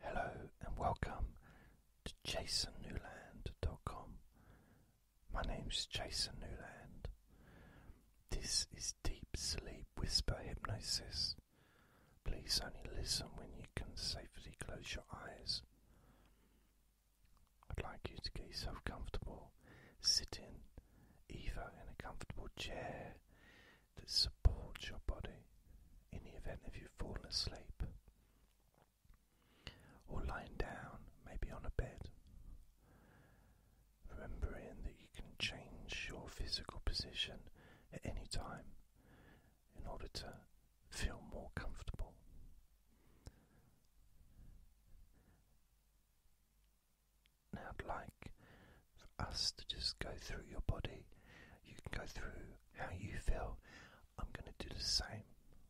Hello and welcome to jasonnewland.com. My name's Jason Newland. This is Deep Sleep Whisper Hypnosis. Please only listen when you can safely close your eyes. I'd like you to get yourself comfortable, sitting either in a comfortable chair, that supports your body in the event if you fall asleep or lying down, maybe on a bed. Remembering that you can change your physical position at any time in order to feel more comfortable. Now, like for us to just go through your body. You can go through how you feel. I'm going to do the same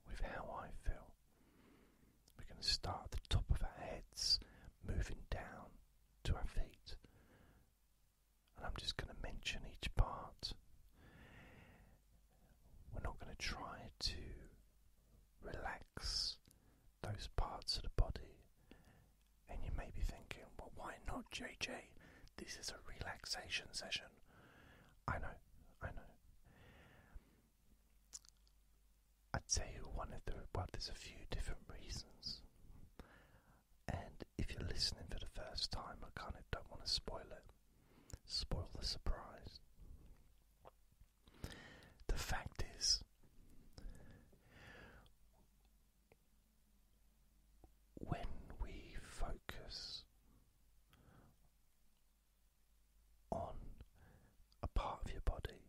with how I feel. We're going to start at the top of our heads, moving down to our feet. And I'm just going to mention each part. We're not going to try to relax those parts of the body and you may be thinking, well, why not, JJ? This is a relaxation session. I know, I know. I'd say one of the well, there's a few different reasons, and if you're listening for the first time, I kind of don't want to spoil it, spoil the surprise. The fact is, when we focus on a part of your body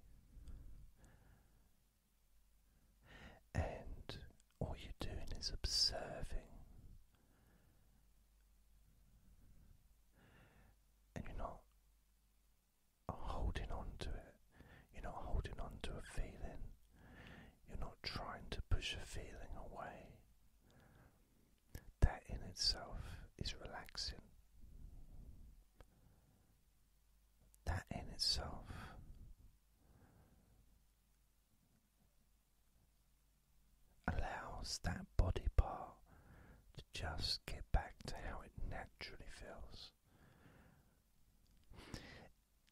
and all you're doing is observing and you're not holding on to it, you're not holding on to a feeling. You're not trying to push a feeling away. That in itself is relaxing. That in itself allows that body part to just get back to how it naturally feels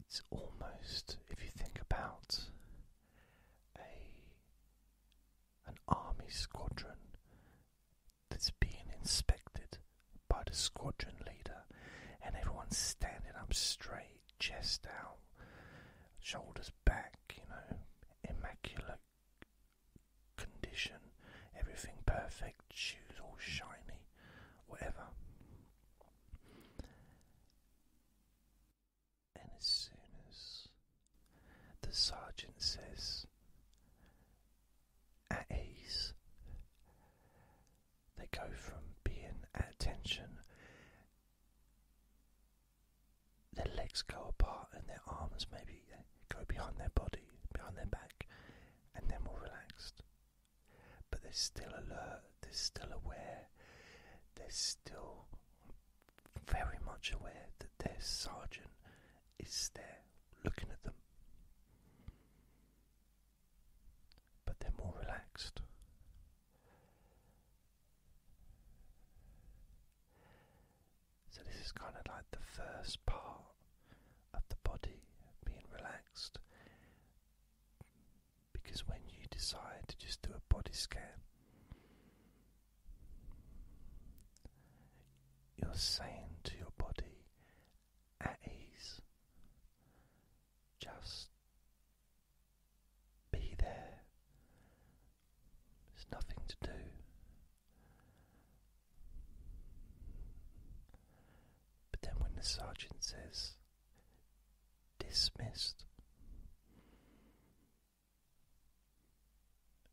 it's almost, if you think about a, an army squadron that's being inspected by the squadron leader, and everyone's standing up straight, chest out, shoulders back, you know, immaculate condition, everything perfect, shoes all shiny, whatever. And as soon as the sergeant says, at ease, they go from being at tension, their legs go apart and their arms maybe go behind their body, behind their back, and they're more relaxed but they're still alert, they're still aware, they're still very much aware that their sergeant is there looking at them. But they're more relaxed. So, this is kind of like the first part of the body being relaxed, because when you decide to just do a body scan, you're saying to your body at ease, just be there. There's nothing to do. But then when the sergeant says, dismissed.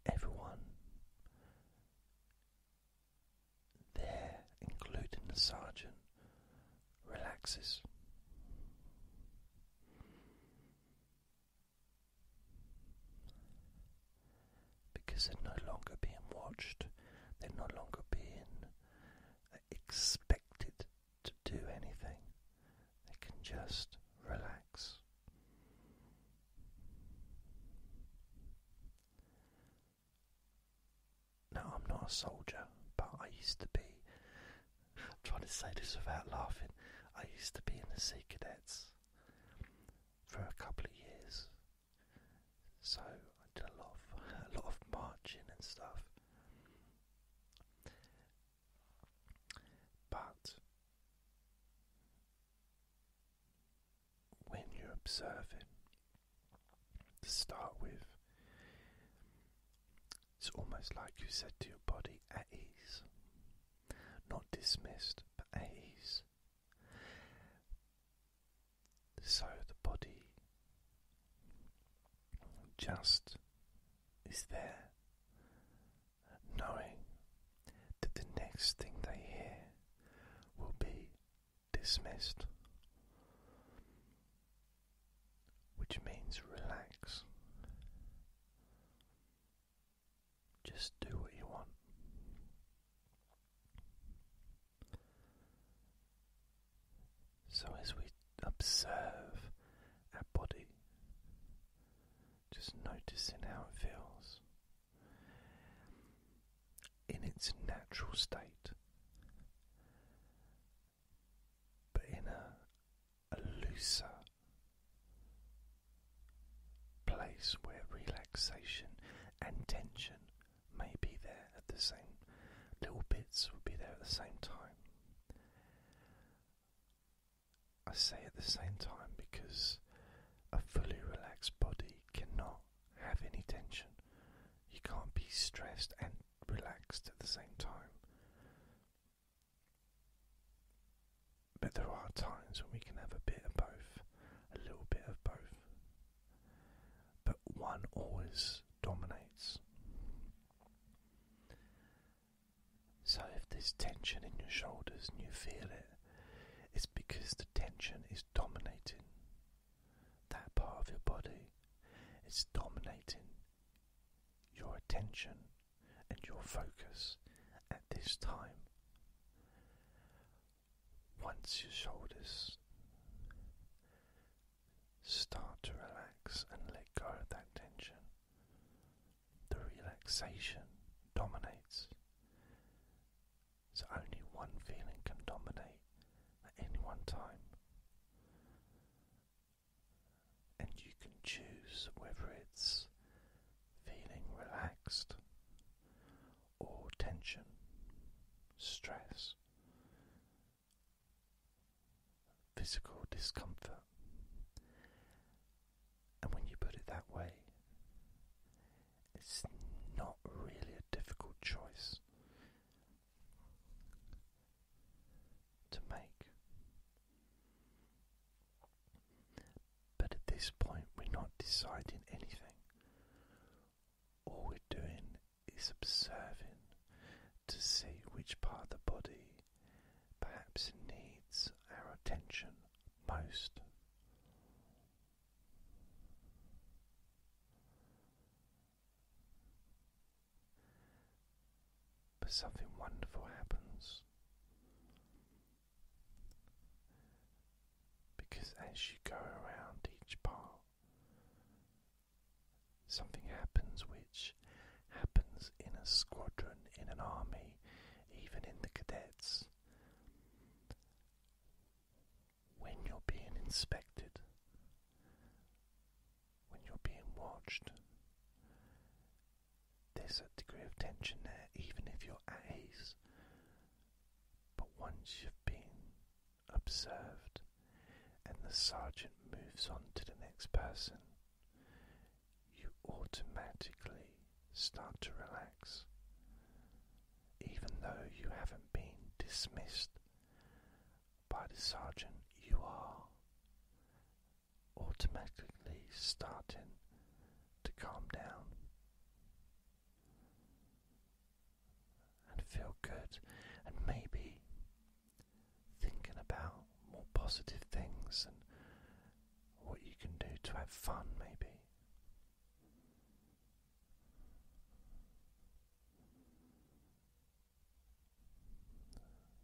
Everyone there, including the sergeant, relaxes. Because they're no longer being watched, they're no longer being expected to do anything, they can just relax. Now, I'm not a soldier, but I used to be. trying to say this without laughing. I used to be in the Sea Cadets for a couple of years, so I did a lot of, a lot of marching and stuff. But when you're observing, to start with, it's almost like you said to your body, at ease. Not dismissed, but at ease. So the body just is there, knowing that the next thing they hear will be dismissed, which means relax. Just do what you want. So, as we observe our body, just noticing how it feels in its natural state, but in a, looser place where relaxation and tension may be there at the same little bits will be there at the same time. I say at the same time because a fully relaxed body cannot have any tension. You can't be stressed and relaxed at the same time. But there are times when we can have a bit of both, a little bit of both but one always dominates. So, if there's tension in your shoulders and you feel it, it's because the tension is dominating that part of your body. It's dominating your attention and your focus at this time. Once your shoulders Start to relax and let go of that tension. The relaxation dominates. So only one feeling can dominate at any one time. And you can choose whether it's feeling relaxed or tension, stress, physical discomfort. And when you put it that way, it's not really a difficult choice to make. But at this point, we're not deciding anything. All we're doing is observing to see which part of the body perhaps needs our attention most. But something wonderful happens because as you go around each part, Something happens which happens in a squadron, in an army, even in the cadets. When you're being inspected, when you're being watched, there's a degree of tension there, even if you're at ease. But once you've been observed, and the sergeant moves on to the next person, you automatically start to relax. Even though you haven't been dismissed by the sergeant, you are automatically starting to calm down and feel good, and maybe thinking about more positive things and what you can do to have fun, maybe.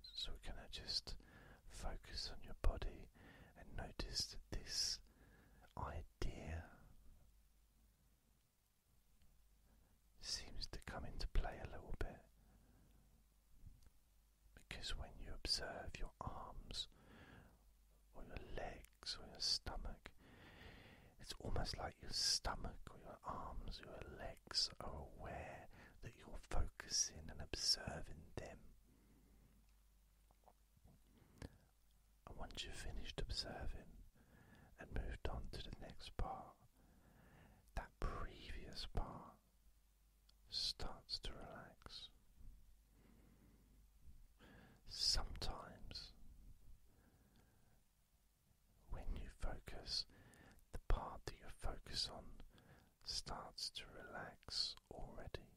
So, we're just focus on your body and notice this idea seems to come into play a little bit because when you observe your arms or your legs or your stomach, it's almost like your stomach or your arms or your legs are aware that you're focusing and observing them. And once you've finished observing and moved on to the next part, that previous part starts to relax. Sometimes, when you focus, the part that you focus on starts to relax already.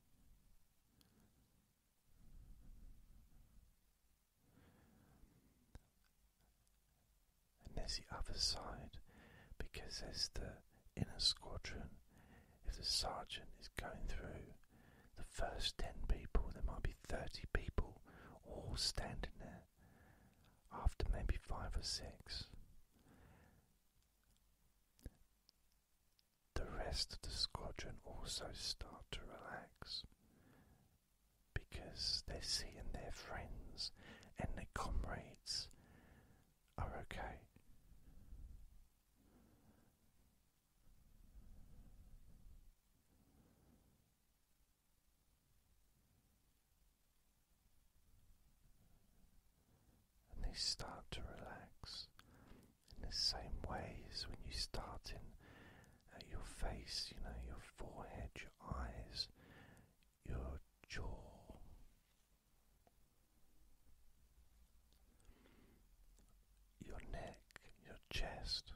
And there's the other side because there's the inner squadron. If the sergeant is going through the first 10 people, there might be 30 people all standing there after maybe 5 or 6. The rest of the squadron also start to relax because they're seeing their friends and their comrades are okay. And they start to relax in the same way as when you start in uh, your face, you know, your forehead, your eyes, your jaw. Your neck, your chest.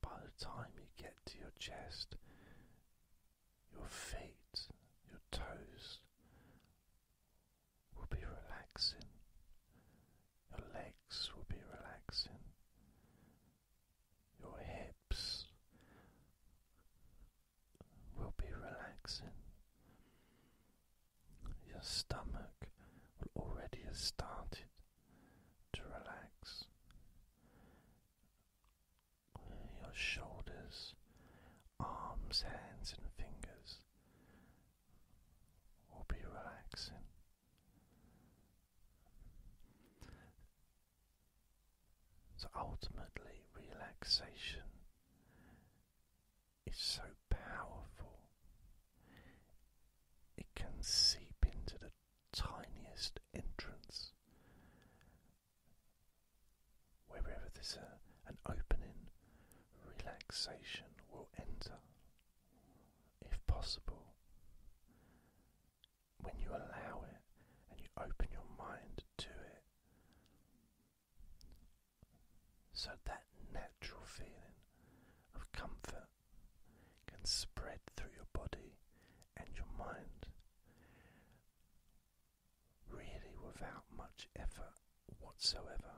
By the time you get to your chest, your feet, your toes will be relaxing your legs will be relaxing, your hips will be relaxing, your stomach will already have started to relax, your shoulders, arms, hands, and fingers. Will be relaxing, so ultimately, relaxation is so powerful, it can seep into the tiniest entrance. Wherever there's an opening, relaxation will enter if possible, when you allow it and you open your mind to it. So that natural feeling of comfort can spread through your body and your mind really without much effort whatsoever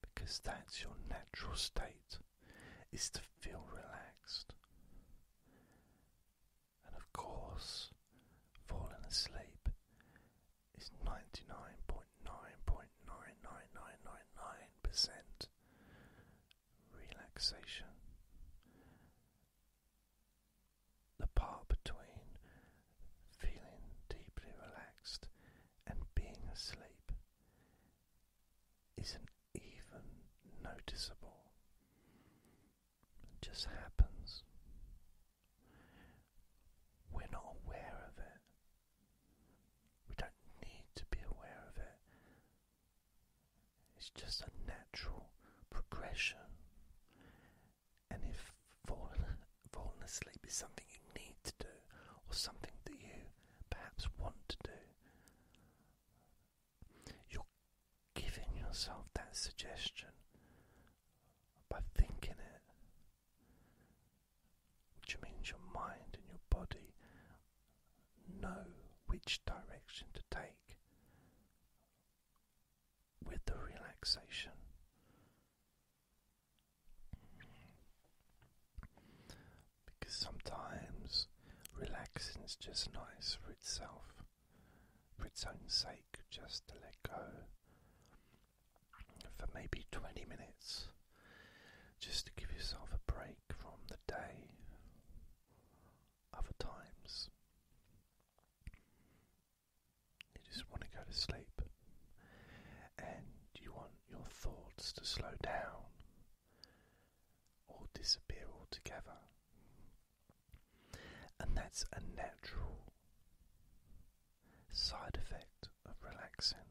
because that's your natural state is to feel relaxed. And of course, falling asleep is 99.9.99999% relaxation. The part between feeling deeply relaxed and being asleep isn't even noticeable, it just happens. We're not aware of it. We don't need to be aware of it. It's just a natural progression. And if for falling asleep is something you need to do or something that you perhaps want to do. You're giving yourself that suggestion by thinking it, which means your mind and your body know which direction to take with the relaxation. Because sometimes relaxing is just nice for itself, for its own sake, just to let go for maybe 20 minutes, just to give yourself a break from the day. Other times, you just want to go to sleep and you want your thoughts to slow down or disappear altogether. And that's a natural side effect of relaxing.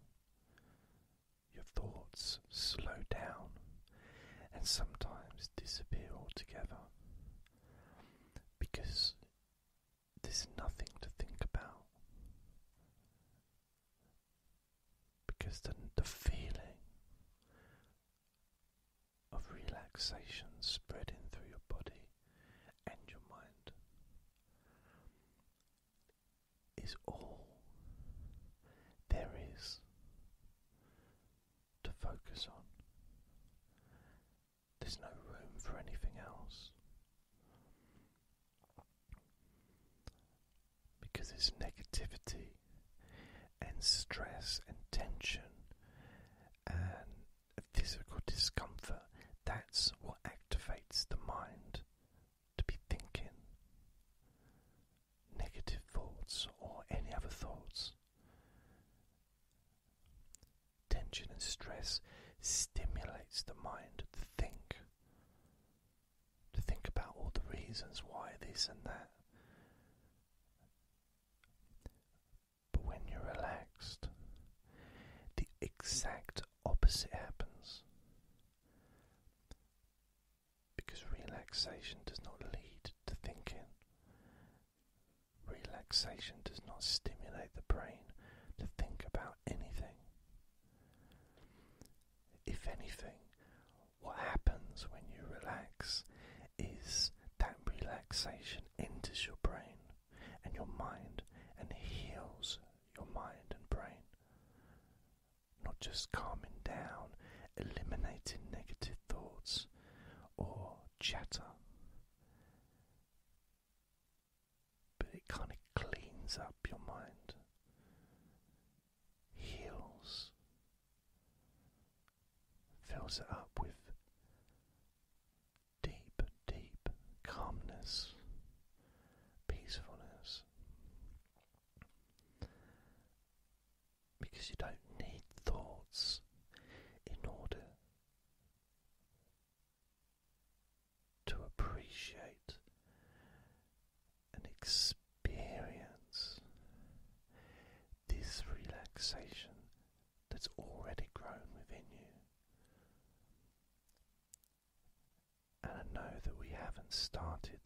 Your thoughts slow down and sometimes disappear altogether because there's nothing to think about because the, the feeling of relaxation spreading through your body and your mind is all there is to focus on. There's no room for anything else because it's negativity and stress and tension and physical discomfort that's what activates the mind to be thinking negative thoughts or any other thoughts. Tension and stress stimulates the mind to think to think about all the reasons why this and that. But when you're relaxed, the exact opposite happens. Because relaxation does not lead to thinking. Relaxation does not stimulate the brain to think about anything. If anything, what happens when you relax is that relaxation enters your brain and your mind and heals your mind and brain. Not just calming down, eliminating negative thoughts or chatter but it kind of cleans up your mind, heals, fills it up with deep, deep calmness, peacefulness. Because you don't need thoughts in order to appreciate and experience this relaxation that's already grown within you. And I know that we haven't started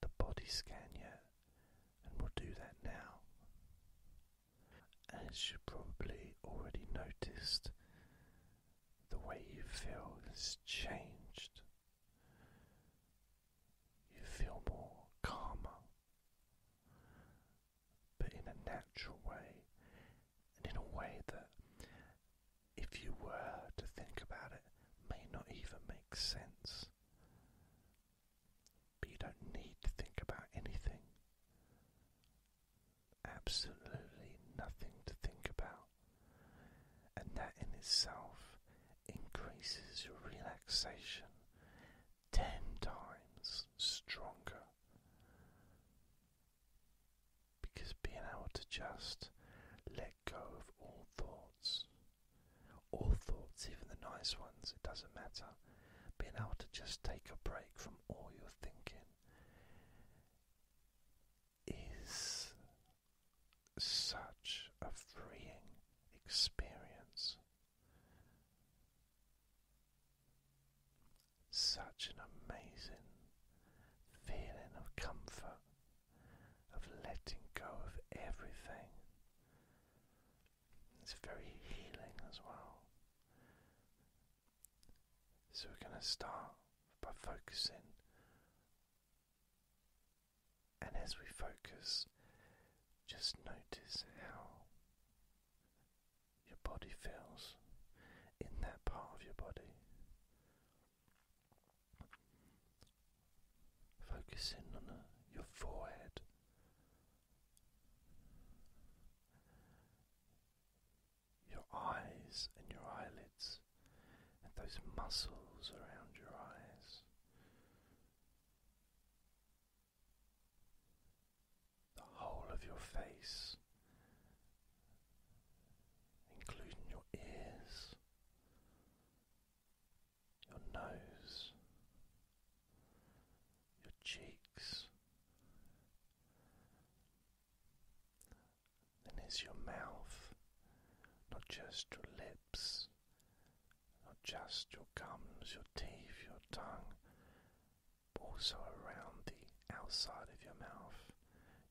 the body scan yet, and we'll do that now. As you probably already noticed, the way you feel has changed. You feel more calmer, but in a natural way, and in a way that, if you were to think about it, may not even make sense. But you don't need to think about anything absolutely nothing to think about, and that in itself increases your relaxation ten times stronger. Because being able to just let go of all thoughts, all thoughts, even the nice ones, it doesn't matter, being able to just take a break from all your thinking is such a freeing experience, such an amazing feeling of comfort, of letting go of everything. It's very healing as well. So we're going to start by focusing. And as we focus, just notice how your body feels in that part of your body. Focusing on your forehead, your eyes and your eyelids, and those muscles around your eyes. The whole of your face, including your ears, your nose, your cheeks, then is your mouth, not just your lips, not just your gums, your teeth, your tongue, but also around the outside of your mouth,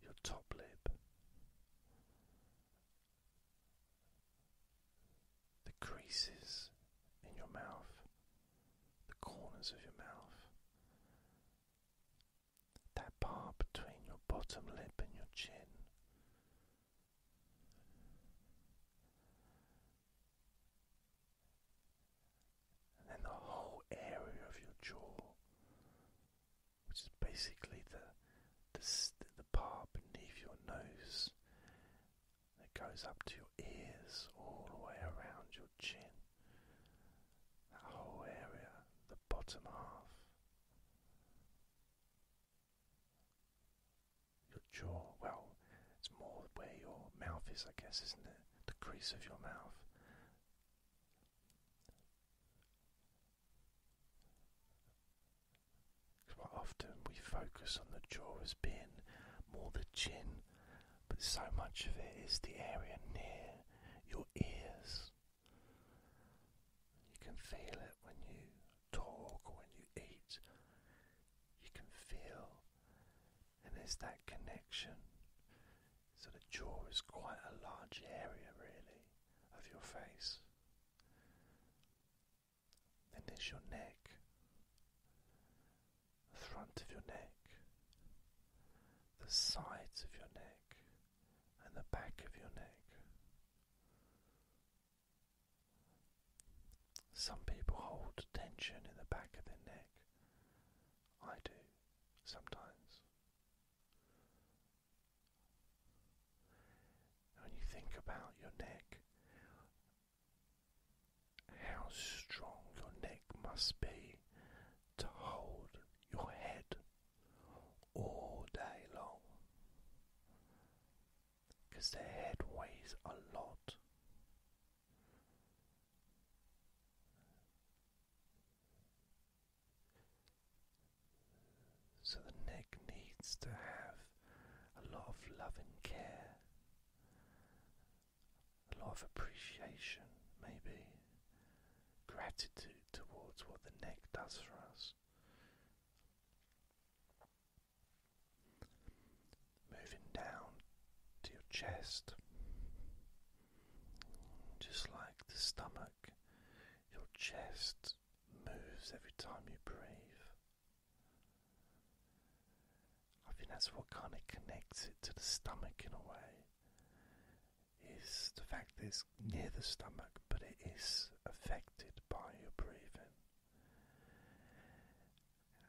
your top lip. The creases in your mouth, the corners of your mouth, that part between your bottom lip and your chin. And then the whole area of your jaw, which is basically the, the, the part beneath your nose that goes up to your ears all the way around your chin that whole area, the bottom half, your jaw. Well, it's more where your mouth is, I guess, isn't it? The crease of your mouth. Quite often we focus on the jaw as being more the chin, but so much of it is the area near your ears. You can feel it when you talk when you eat. You can feel, and there's that connection. So the jaw is quite a large area, really, of your face. Then there's your neck, the front of your neck, the sides of your neck, and the back of your neck. Some people hold tension in the back of their neck. I do sometimes. When you think about your neck, how strong your neck must be to hold your head all day long because the head weighs a lot. So the neck needs to have a lot of love and care, a lot of appreciation, maybe, gratitude towards what the neck does for us. Moving down to your chest, just like the stomach, your chest moves every time you breathe. I think that's what kind of connects it to the stomach in a way is the fact that it's near the stomach, but it is affected by your breathing.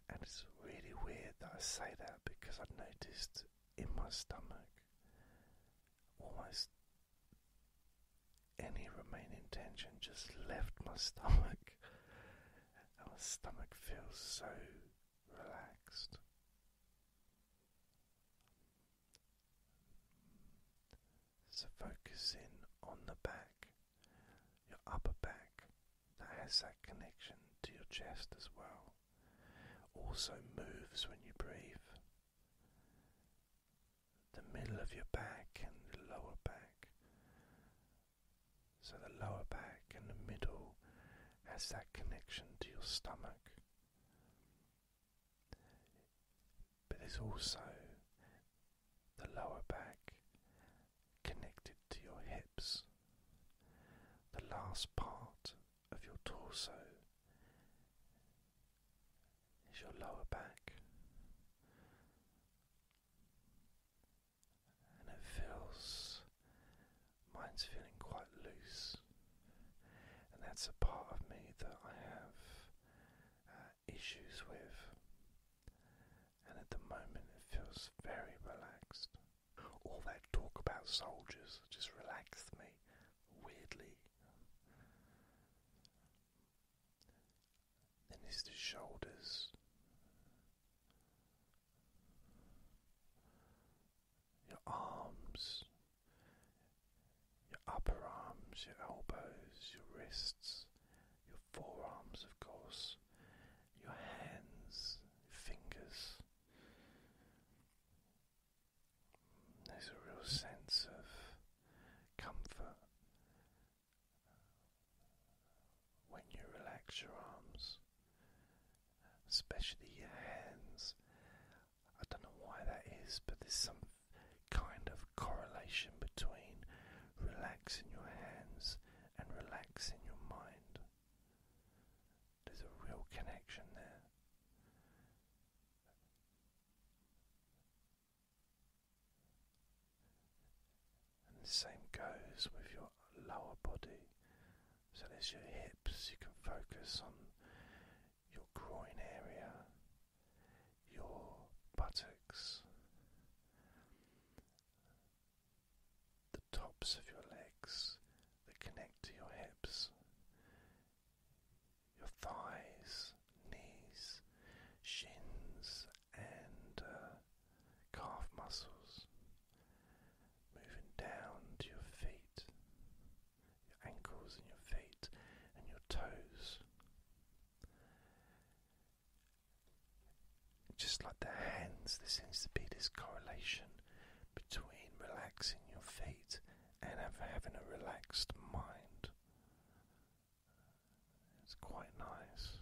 And it's really weird that I say that because I've noticed in my stomach almost any remaining tension just left my stomach, and my stomach feels so relaxed. So, focus in on the back, your upper back that has that connection to your chest as well, also moves when you breathe. The middle of your back and the lower back. So, the lower back and the middle has that connection to your stomach but there's also the lower back connected to your hips. The last part of your torso is your lower back, and it feels Mine's feeling quite loose, and that's a part of me that I have uh, issues with. And at the moment, it feels very relaxed. All that talk about soldiers just relaxed me weirdly. Then it's the shoulders your arms, your upper arms, your elbows, your wrists, your forearms, of course, your hands, fingers. There's a real sense of comfort when you relax your arms, especially your hands. I don't know why that is, but there's some kind of correlation between relaxing your hands and relaxing your mind. There's a real connection there. And the same goes with your lower body. So there's your hips, you can focus on your groin area, your buttocks, the tops of your legs that connect to your hips, your thighs, knees, shins, and uh, calf muscles. Moving down to your feet, your ankles and your feet and your toes. Just like the hands, there seems to be this correlation between relaxing your feet and having a relaxed mind. It's quite nice.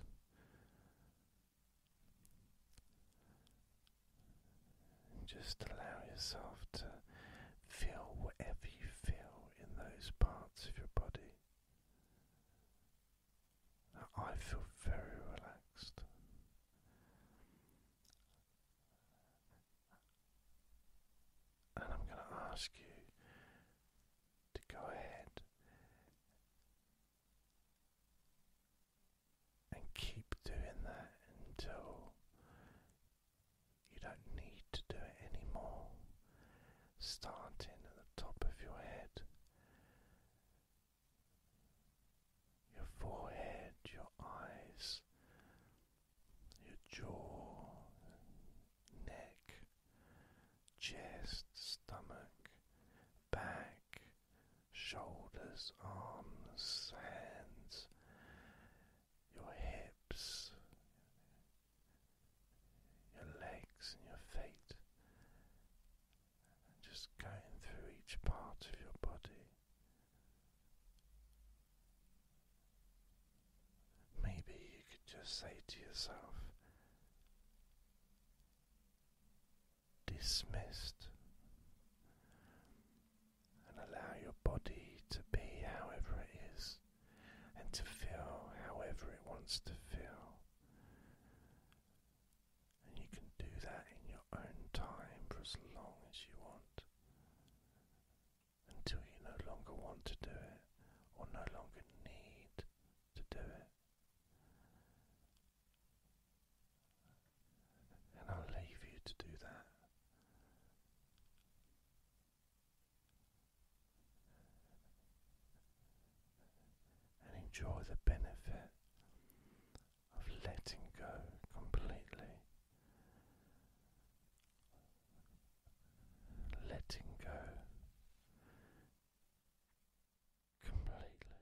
And just allow yourself to feel whatever you feel in those parts of your body. I feel very relaxed. And I'm going to ask you to go ahead and keep doing that until you don't need to do it anymore. Starting at the top of your head, your forehead, your eyes, your jaw, neck, chest, stomach, back, shoulders, arms, hands, your hips, your legs, and your feet, and just going through each part of your body. Maybe you could just say to yourself, dismissed and allow your body to be however it is and to feel however it wants to feel. And you can do that in your own time for as long as you want until you no longer want to do it or no longer need to do it and I'll leave you to do that. And enjoy the benefit of letting go completely, letting go completely.